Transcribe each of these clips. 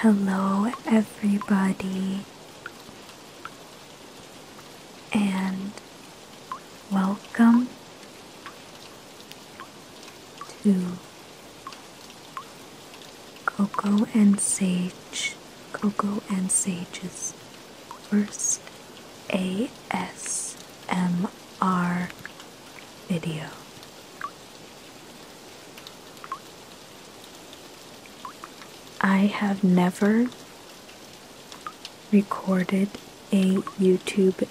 Hello, everybody, and welcome to Coco and Sage Coco and Sages. First ASMR video. I have never recorded a YouTube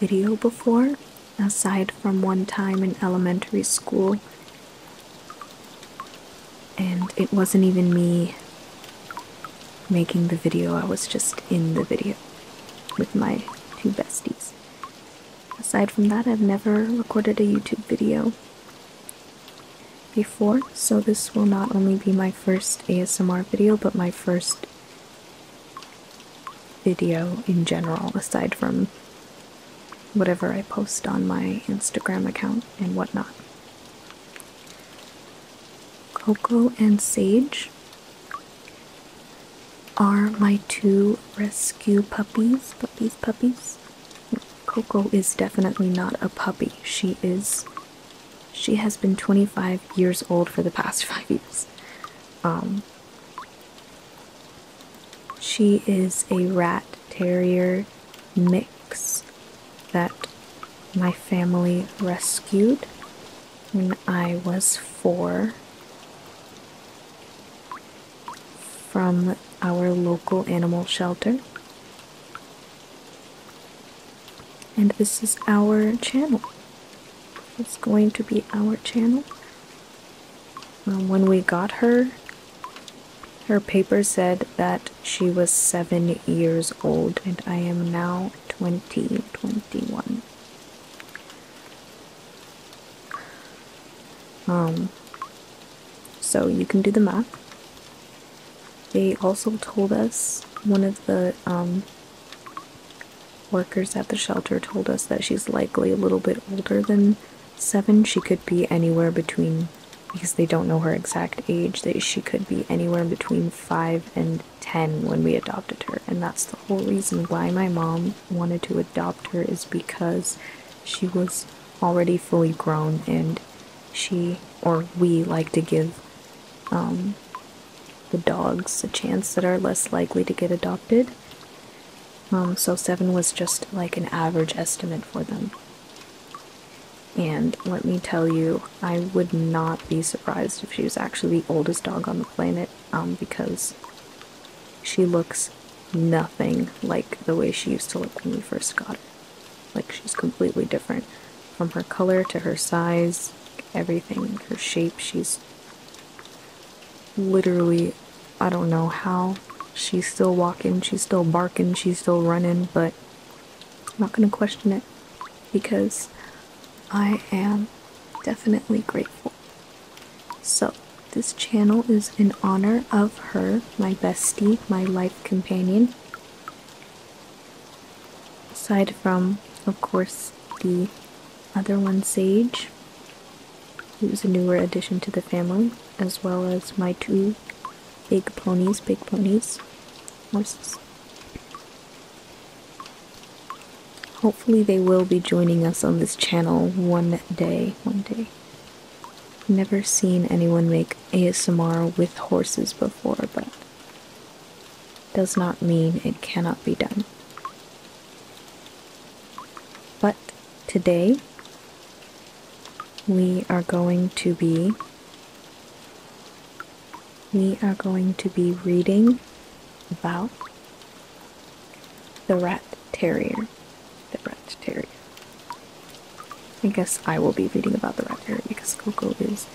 video before, aside from one time in elementary school and it wasn't even me making the video, I was just in the video with my two besties. Aside from that, I've never recorded a YouTube video before, so this will not only be my first ASMR video, but my first video in general, aside from whatever I post on my Instagram account and whatnot. Coco and Sage are my two rescue puppies. Puppies, puppies. Coco is definitely not a puppy. She is. She has been 25 years old for the past five years. Um, she is a rat terrier mix that my family rescued when I was four from our local animal shelter. And this is our channel. It's going to be our channel. when we got her, her paper said that she was seven years old, and I am now twenty twenty one. Um, so you can do the math. They also told us, one of the um, workers at the shelter told us that she's likely a little bit older than seven, she could be anywhere between, because they don't know her exact age, that she could be anywhere between five and ten when we adopted her. And that's the whole reason why my mom wanted to adopt her, is because she was already fully grown and she or we like to give um, the dogs a chance that are less likely to get adopted. Um, so seven was just like an average estimate for them. And let me tell you, I would not be surprised if she was actually the oldest dog on the planet, um, because she looks nothing like the way she used to look when we first got her. Like, she's completely different. From her color to her size, everything, her shape, she's literally, I don't know how, She's still walking, she's still barking, she's still running, but I'm not going to question it because I am definitely grateful. So, this channel is in honor of her, my bestie, my life companion. Aside from, of course, the other one, Sage, who's a newer addition to the family, as well as my two Big ponies, big ponies. Horses. Hopefully they will be joining us on this channel one day, one day. Never seen anyone make ASMR with horses before, but does not mean it cannot be done. But today, we are going to be we are going to be reading about the rat terrier. The rat terrier. I guess I will be reading about the rat terrier because Coco is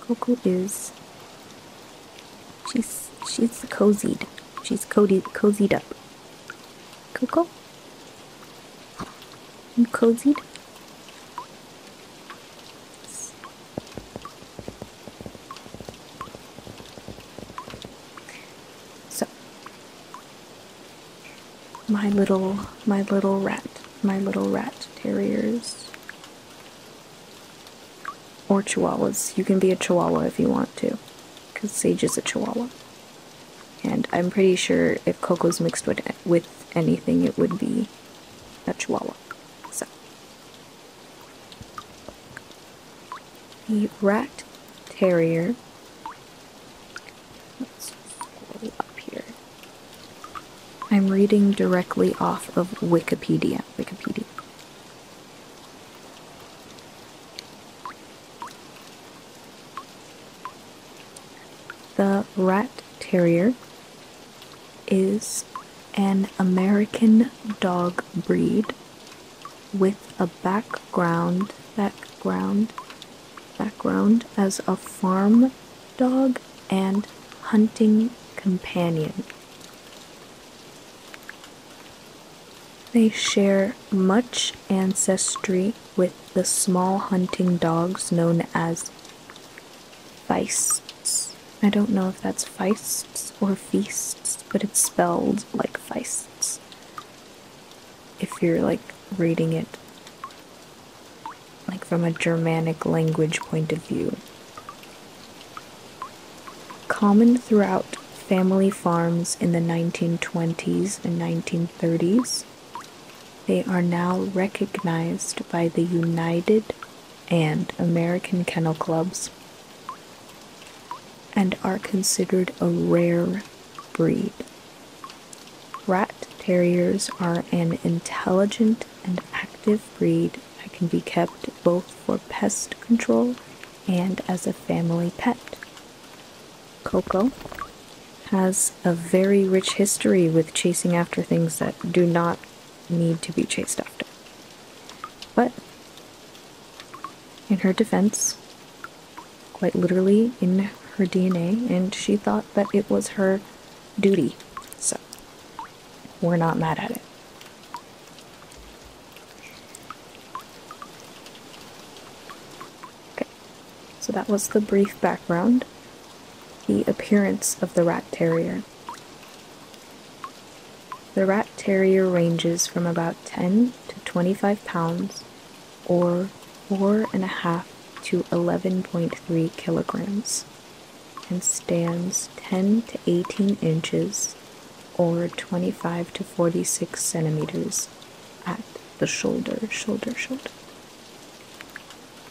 Coco is she's she's cozied. She's cozied cozied up. Coco? i cozied. So my little my little rat my little rat terriers or chihuahuas. You can be a chihuahua if you want to because Sage is a Chihuahua. And I'm pretty sure if Coco's mixed with, with anything, it would be a Chihuahua. So. The Rat Terrier. Let's scroll up here. I'm reading directly off of Wikipedia. Wikipedia. The Rat Terrier is an American dog breed with a background background background as a farm dog and hunting companion. They share much ancestry with the small hunting dogs known as feists. I don't know if that's feists or feasts, but it's spelled like feists. If you're like reading it like from a Germanic language point of view. Common throughout family farms in the 1920s and 1930s, they are now recognized by the United and American Kennel Clubs and are considered a rare breed. Rat terriers are an intelligent and active breed that can be kept both for pest control and as a family pet. Coco has a very rich history with chasing after things that do not need to be chased after. But, in her defense, quite literally in her DNA, and she thought that it was her duty. So, we're not mad at it. Okay, so that was the brief background, the appearance of the rat terrier. The rat terrier ranges from about 10 to 25 pounds, or 4 and a half to 11.3 kilograms, and stands 10 to 18 inches, or 25 to 46 centimeters, at the shoulder, shoulder, shoulder.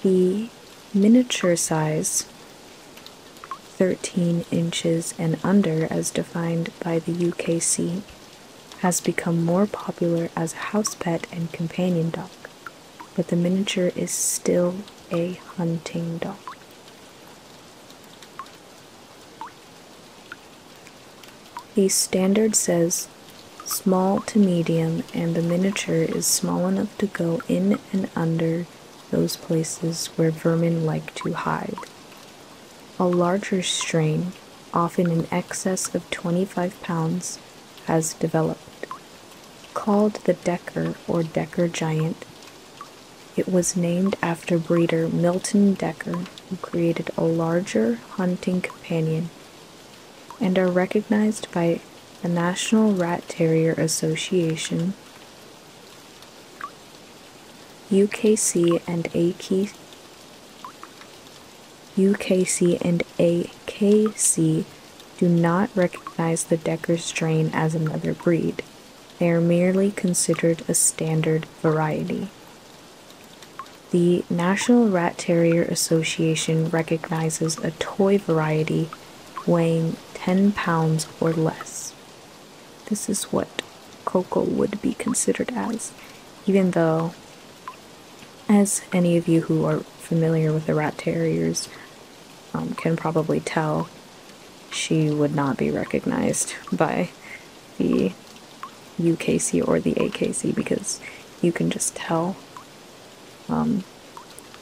The miniature size 13 inches and under, as defined by the UKC, has become more popular as a house pet and companion dog, but the miniature is still a hunting dog. The standard says small to medium and the miniature is small enough to go in and under those places where vermin like to hide. A larger strain, often in excess of 25 pounds, has developed. Called the Decker or Decker Giant, it was named after breeder Milton Decker, who created a larger hunting companion and are recognized by the National Rat Terrier Association, UKC and AKC. UKC and AKC do not recognize the Decker strain as another breed. They are merely considered a standard variety. The National Rat Terrier Association recognizes a toy variety weighing 10 pounds or less. This is what Coco would be considered as, even though, as any of you who are familiar with the rat terriers um, can probably tell, she would not be recognized by the UKC or the AKC because you can just tell. Um,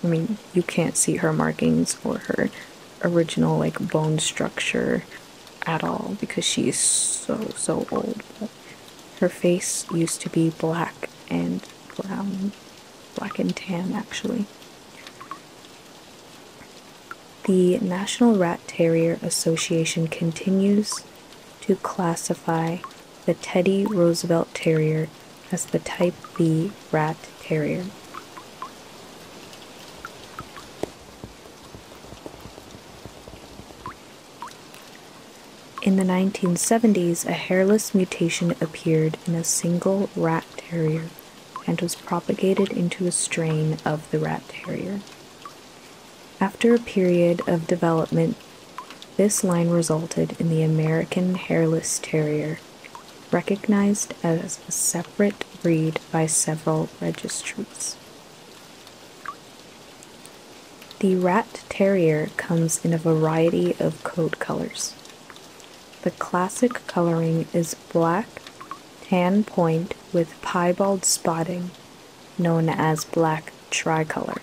I mean, you can't see her markings or her original like bone structure at all because she is so so old. her face used to be black and brown, black and tan actually. The National Rat Terrier Association continues to classify the Teddy Roosevelt Terrier as the Type B Rat Terrier. In the 1970s, a hairless mutation appeared in a single rat terrier and was propagated into a strain of the rat terrier. After a period of development, this line resulted in the American Hairless Terrier, recognized as a separate breed by several registries. The Rat Terrier comes in a variety of coat colors. The classic coloring is black, tan point with piebald spotting known as black tricolor.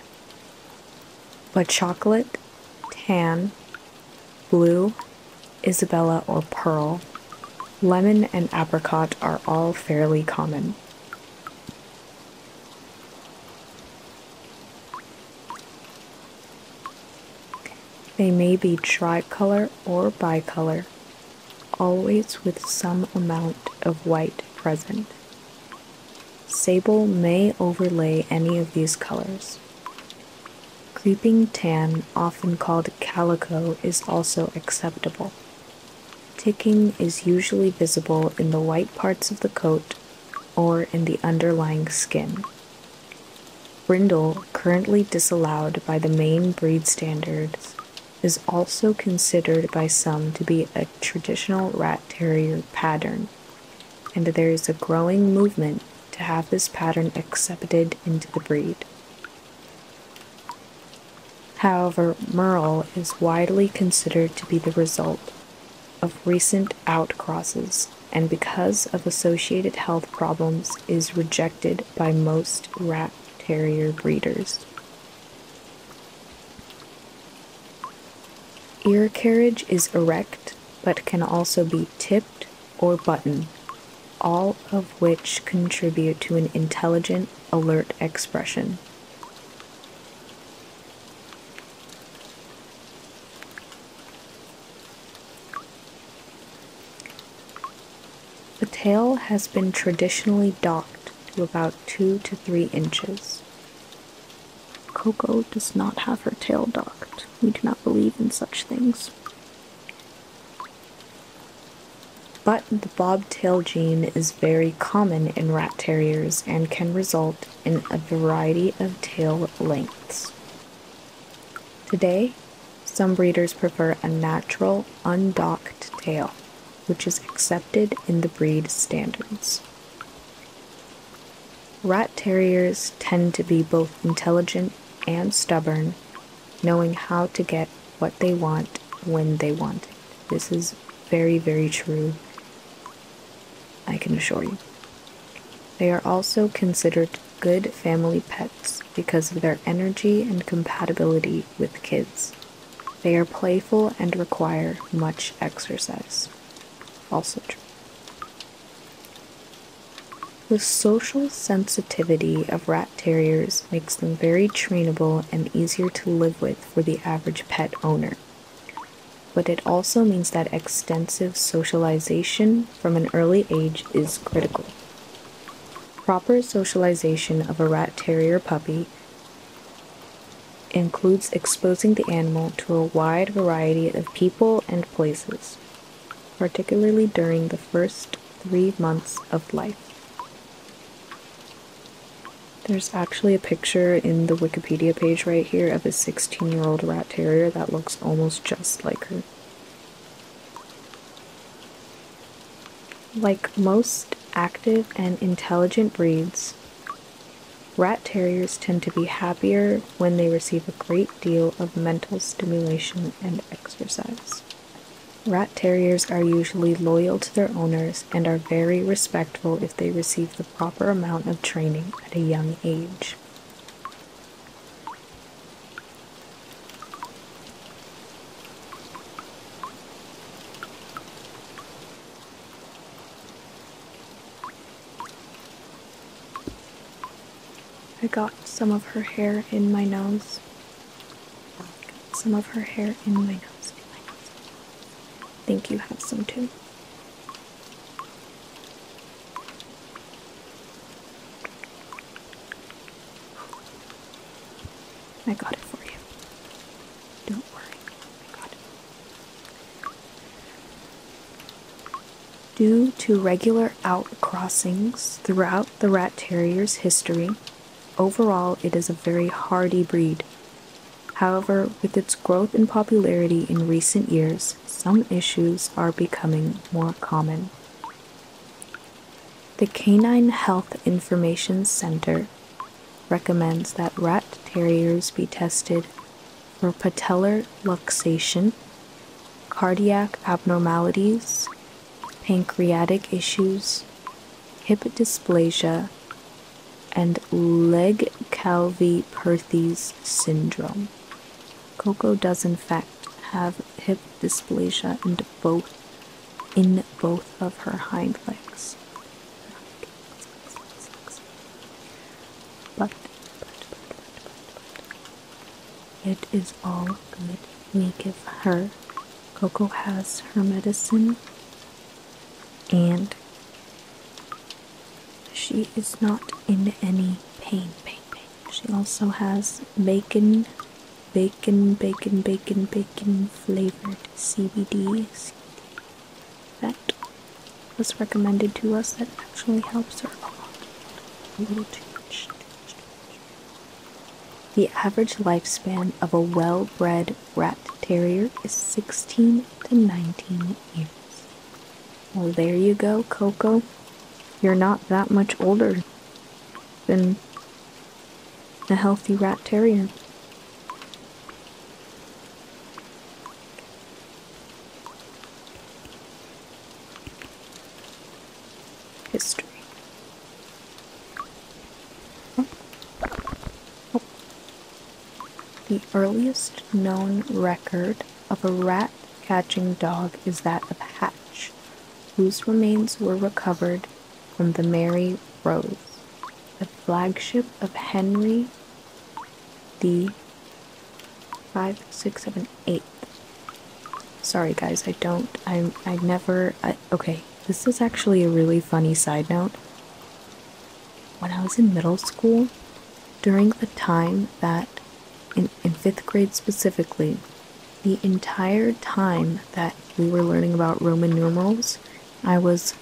But chocolate, tan, blue, Isabella or pearl, lemon and apricot are all fairly common. They may be tricolor or bicolor, always with some amount of white present. Sable may overlay any of these colors. Creeping tan, often called calico, is also acceptable. Ticking is usually visible in the white parts of the coat or in the underlying skin. Brindle, currently disallowed by the main breed standards, is also considered by some to be a traditional rat terrier pattern, and there is a growing movement to have this pattern accepted into the breed. However, Merle is widely considered to be the result of recent outcrosses and because of associated health problems is rejected by most rat terrier breeders. Ear carriage is erect but can also be tipped or button, all of which contribute to an intelligent, alert expression. The tail has been traditionally docked to about two to three inches. Coco does not have her tail docked. We do not believe in such things. But the bobtail gene is very common in rat terriers and can result in a variety of tail lengths. Today, some breeders prefer a natural, undocked tail which is accepted in the breed standards. Rat Terriers tend to be both intelligent and stubborn, knowing how to get what they want when they want it. This is very, very true, I can assure you. They are also considered good family pets because of their energy and compatibility with kids. They are playful and require much exercise. Also true. The social sensitivity of rat terriers makes them very trainable and easier to live with for the average pet owner. But it also means that extensive socialization from an early age is critical. Proper socialization of a rat terrier puppy includes exposing the animal to a wide variety of people and places, particularly during the first three months of life. There's actually a picture in the Wikipedia page right here of a 16 year old rat terrier that looks almost just like her. Like most active and intelligent breeds, rat terriers tend to be happier when they receive a great deal of mental stimulation and exercise. Rat terriers are usually loyal to their owners and are very respectful if they receive the proper amount of training at a young age. I got some of her hair in my nose. Some of her hair in my nose. think you have some too. I got it for you. Don't worry. Due to regular outcrossings throughout the rat terrier's history, overall it is a very hardy breed. However, with its growth in popularity in recent years, some issues are becoming more common. The Canine Health Information Center recommends that rat terriers be tested for patellar luxation, cardiac abnormalities, pancreatic issues, hip dysplasia, and leg perthes syndrome. Coco does in fact have hip dysplasia in both in both of her hind legs. But, it is all good. We give her. Coco has her medicine, and she is not in any pain. Pain, pain. She also has bacon, bacon, bacon, bacon, bacon flavored CBDs that was recommended to us that actually helps her a lot. The average lifespan of a well bred rat terrier is 16 to 19 years. Well, there you go, Coco. You're not that much older than a healthy rat terrier. History. The earliest known record of a rat catching dog is that of Hatch, whose remains were recovered from the Mary Rose, a flagship of Henry the Five, Six, Seven, Eight. Sorry guys, I don't, I, I never, okay, this is actually a really funny side note. When I was in middle school, during the time that, in, in fifth grade specifically, the entire time that we were learning about Roman numerals, I was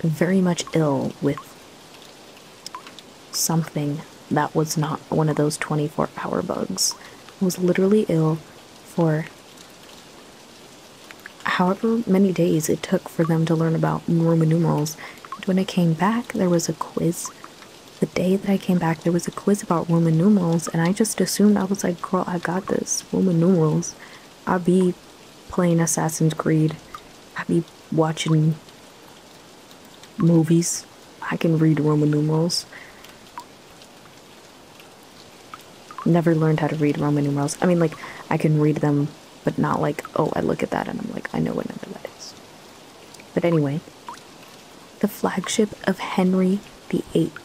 very much ill with something that was not one of those 24 hour bugs. I was literally ill for however many days it took for them to learn about Roman numerals. when I came back, there was a quiz. The day that I came back, there was a quiz about Roman numerals, and I just assumed I was like, girl, I got this. Roman numerals. I be playing Assassin's Creed. I be watching movies. I can read Roman numerals. Never learned how to read Roman numerals. I mean, like, I can read them, but not like, oh, I look at that and I'm like, I know what number that is. But anyway, the flagship of Henry the Eighth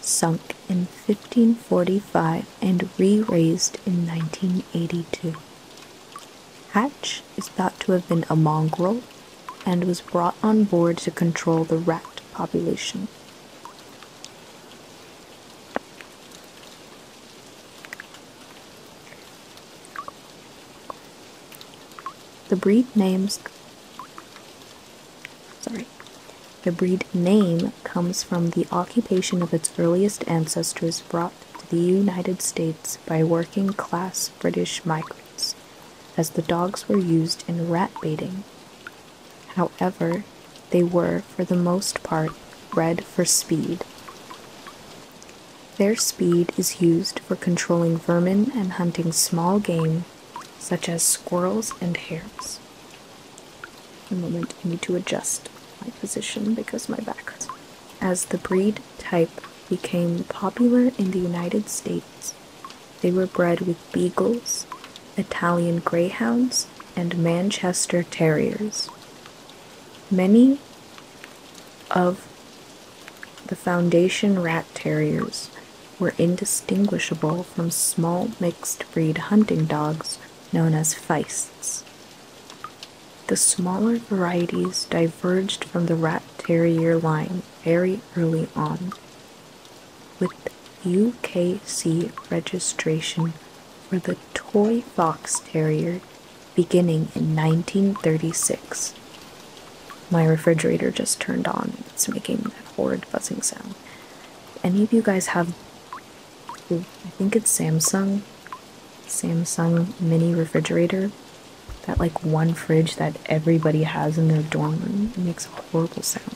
sunk in 1545 and re raised in 1982. Hatch is thought to have been a mongrel and was brought on board to control the rat population. The breed names Sorry. The breed name comes from the occupation of its earliest ancestors brought to the United States by working class British migrants, as the dogs were used in rat baiting. However, they were, for the most part, bred for speed. Their speed is used for controlling vermin and hunting small game such as squirrels and hares. A moment, I need to adjust my position because my back As the breed type became popular in the United States, they were bred with beagles, Italian greyhounds, and Manchester terriers. Many of the Foundation Rat Terriers were indistinguishable from small mixed breed hunting dogs known as feists. The smaller varieties diverged from the rat terrier line very early on, with UKC registration for the toy fox terrier beginning in 1936. My refrigerator just turned on, it's making that horrid buzzing sound. any of you guys have I think it's Samsung. Samsung mini refrigerator. That like one fridge that everybody has in their dorm room. makes a horrible sound.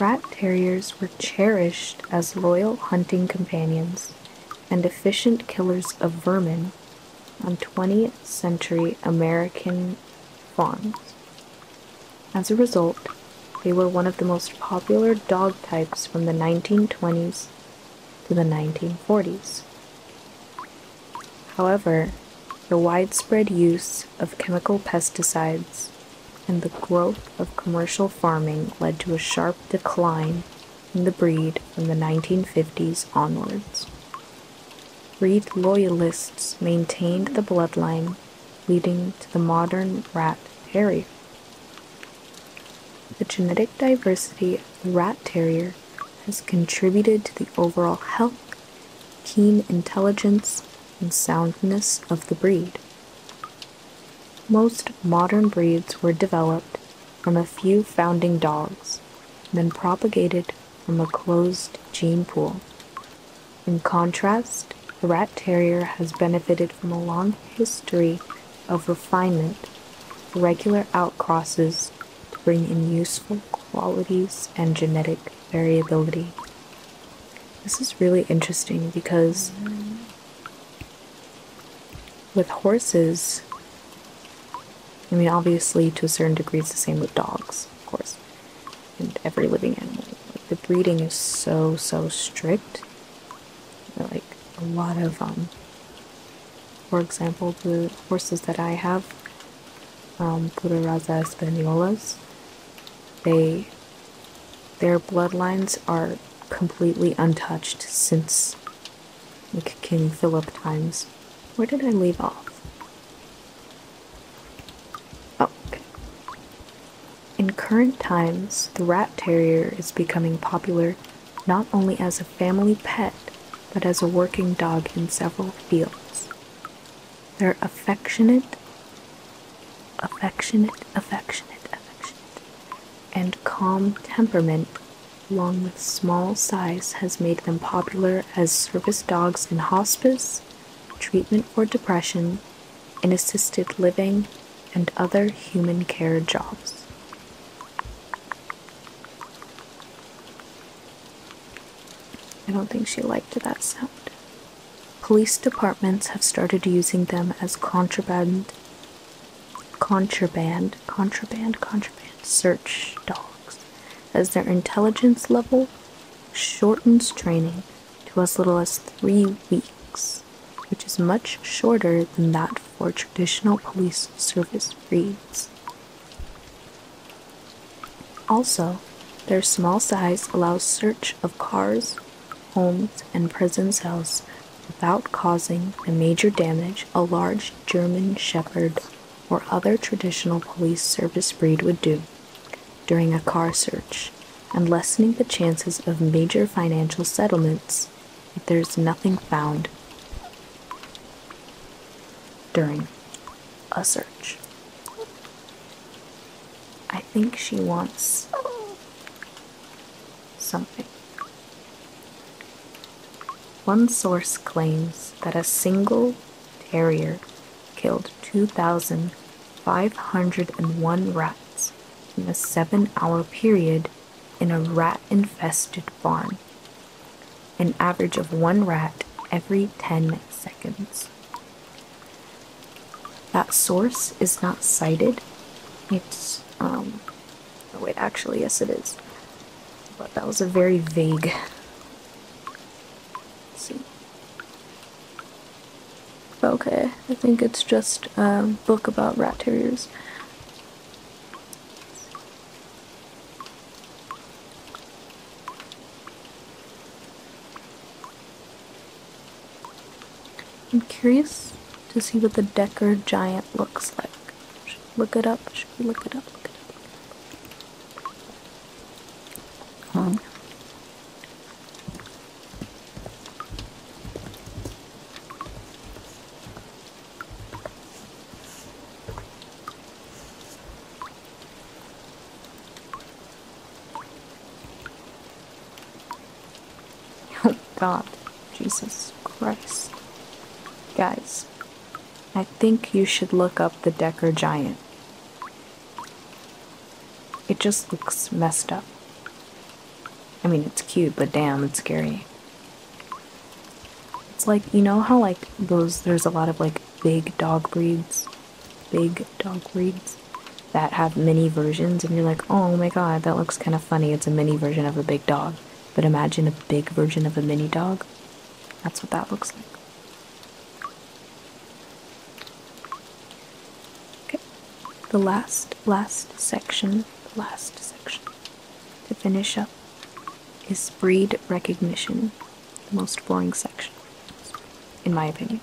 Rat terriers were cherished as loyal hunting companions and efficient killers of vermin on 20th century American farms. As a result, they were one of the most popular dog types from the 1920s to the 1940s. However, the widespread use of chemical pesticides and the growth of commercial farming led to a sharp decline in the breed from the 1950s onwards. Breed loyalists maintained the bloodline, leading to the modern rat terrier. The genetic diversity of rat terrier has contributed to the overall health, keen intelligence, and soundness of the breed. Most modern breeds were developed from a few founding dogs, then propagated from a closed gene pool. In contrast, the rat terrier has benefited from a long history of refinement, regular outcrosses to bring in useful qualities and genetic variability. This is really interesting because with horses, I mean, obviously, to a certain degree, it's the same with dogs, of course, and every living animal. the breeding is so, so strict like a lot of um, for example the horses that i have um, pura raza españolas they their bloodlines are completely untouched since like king philip times where did i leave off oh in current times, the rat terrier is becoming popular not only as a family pet, but as a working dog in several fields. Their affectionate, affectionate, affectionate, affectionate, and calm temperament, along with small size, has made them popular as service dogs in hospice, treatment for depression, in assisted living and other human care jobs. I don't think she liked that sound. Police departments have started using them as contraband, contraband, contraband, contraband search dogs, as their intelligence level shortens training to as little as three weeks which is much shorter than that for traditional police service breeds. Also, their small size allows search of cars, homes, and prison cells without causing the major damage a large German Shepherd or other traditional police service breed would do during a car search and lessening the chances of major financial settlements if there is nothing found during a search. I think she wants something. One source claims that a single terrier killed 2,501 rats in a seven hour period in a rat infested barn, an average of one rat every 10 seconds. That source is not cited. It's, um, oh wait, actually, yes, it is. But that was a very vague. Okay, I think it's just a book about rat terriers. I'm curious to see what the Decker Giant looks like. Should look it up? Should look it up? Look it up. Oh god, Jesus Christ. Guys, I think you should look up the Decker Giant. It just looks messed up. I mean, it's cute, but damn, it's scary. It's like, you know how, like, those, there's a lot of, like, big dog breeds, big dog breeds that have mini versions, and you're like, oh my god, that looks kind of funny. It's a mini version of a big dog. But imagine a big version of a mini dog. That's what that looks like. Okay, the last last section, last section to finish up is breed recognition, the most boring section, in my opinion.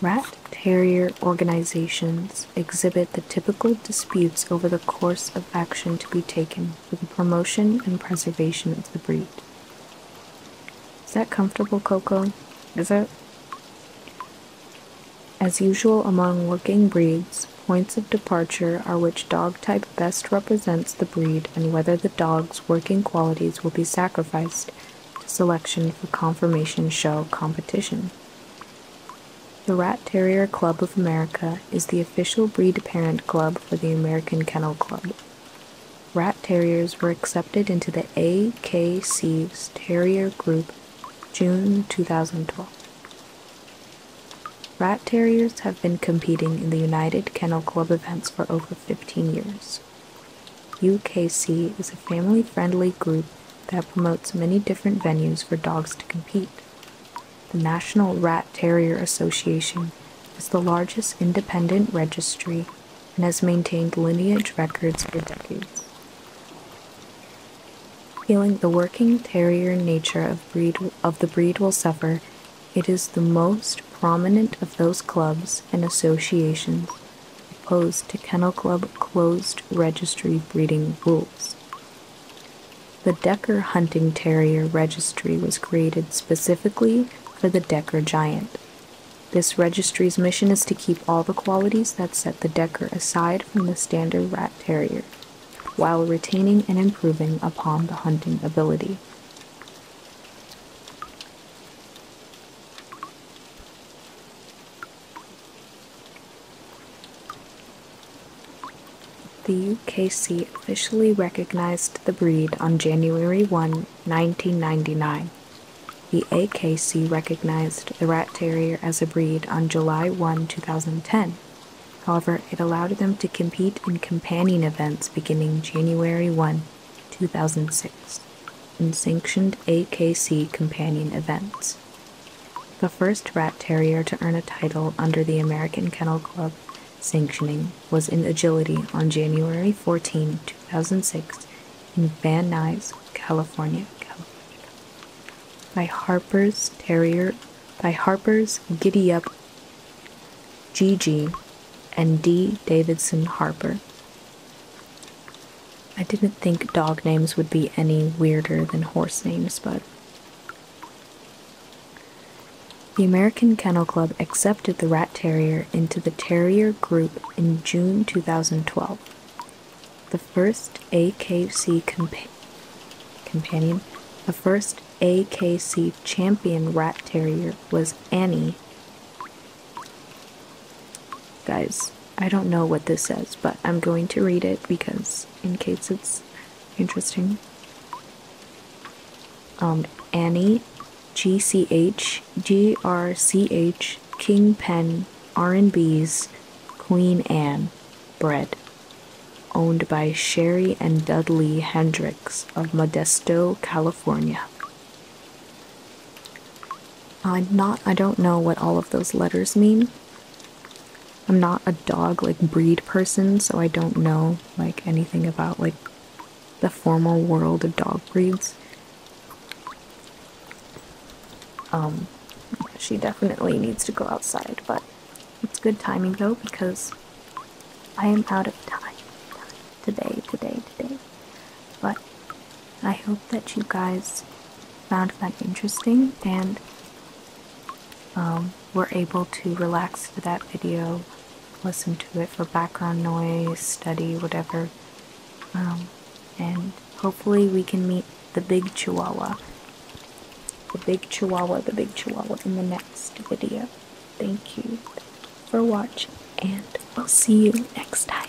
Rat terrier organizations exhibit the typical disputes over the course of action to be taken for the promotion and preservation of the breed. Is that comfortable, Coco? Is it? As usual among working breeds, points of departure are which dog type best represents the breed and whether the dog's working qualities will be sacrificed to selection for conformation show competition. The Rat Terrier Club of America is the official breed parent club for the American Kennel Club rat terriers were accepted into the AKC's Terrier Group June 2012. Rat terriers have been competing in the United Kennel Club events for over 15 years. UKC is a family friendly group that promotes many different venues for dogs to compete. The National Rat Terrier Association is the largest independent registry and has maintained lineage records for decades. Feeling the working terrier nature of, breed, of the breed will suffer, it is the most prominent of those clubs and associations opposed to Kennel Club closed registry breeding rules. The Decker Hunting Terrier Registry was created specifically for the Decker Giant, this registry's mission is to keep all the qualities that set the Decker aside from the standard rat terrier, while retaining and improving upon the hunting ability. The UKC officially recognized the breed on January 1, 1999. The AKC recognized the rat terrier as a breed on July 1, 2010. However, it allowed them to compete in companion events beginning January 1, 2006, in sanctioned AKC companion events. The first rat terrier to earn a title under the American Kennel Club sanctioning was in agility on January 14, 2006, in Van Nuys, California, California, by Harper's Terrier, by Harper's Giddy Up GG and D. Davidson Harper. I didn't think dog names would be any weirder than horse names, but. The American Kennel Club accepted the rat terrier into the Terrier group in June 2012. The first AKC companion, the first AKC champion rat terrier was Annie. Guys, I don't know what this says, but I'm going to read it because in case it's interesting. Um, Annie GCH, King Pen R&B's, Queen Anne, Bread. Owned by Sherry and Dudley Hendricks of Modesto, California. I'm not, I don't know what all of those letters mean. I'm not a dog, like, breed person, so I don't know, like, anything about, like, the formal world of dog breeds. Um, she definitely needs to go outside, but it's good timing though because I am out of time today, today, today. But I hope that you guys found that interesting and um, were able to relax to that video, listen to it for background noise, study, whatever. Um, and hopefully we can meet the big chihuahua the big chihuahua the big chihuahua in the next video thank you for watching and we'll see you next time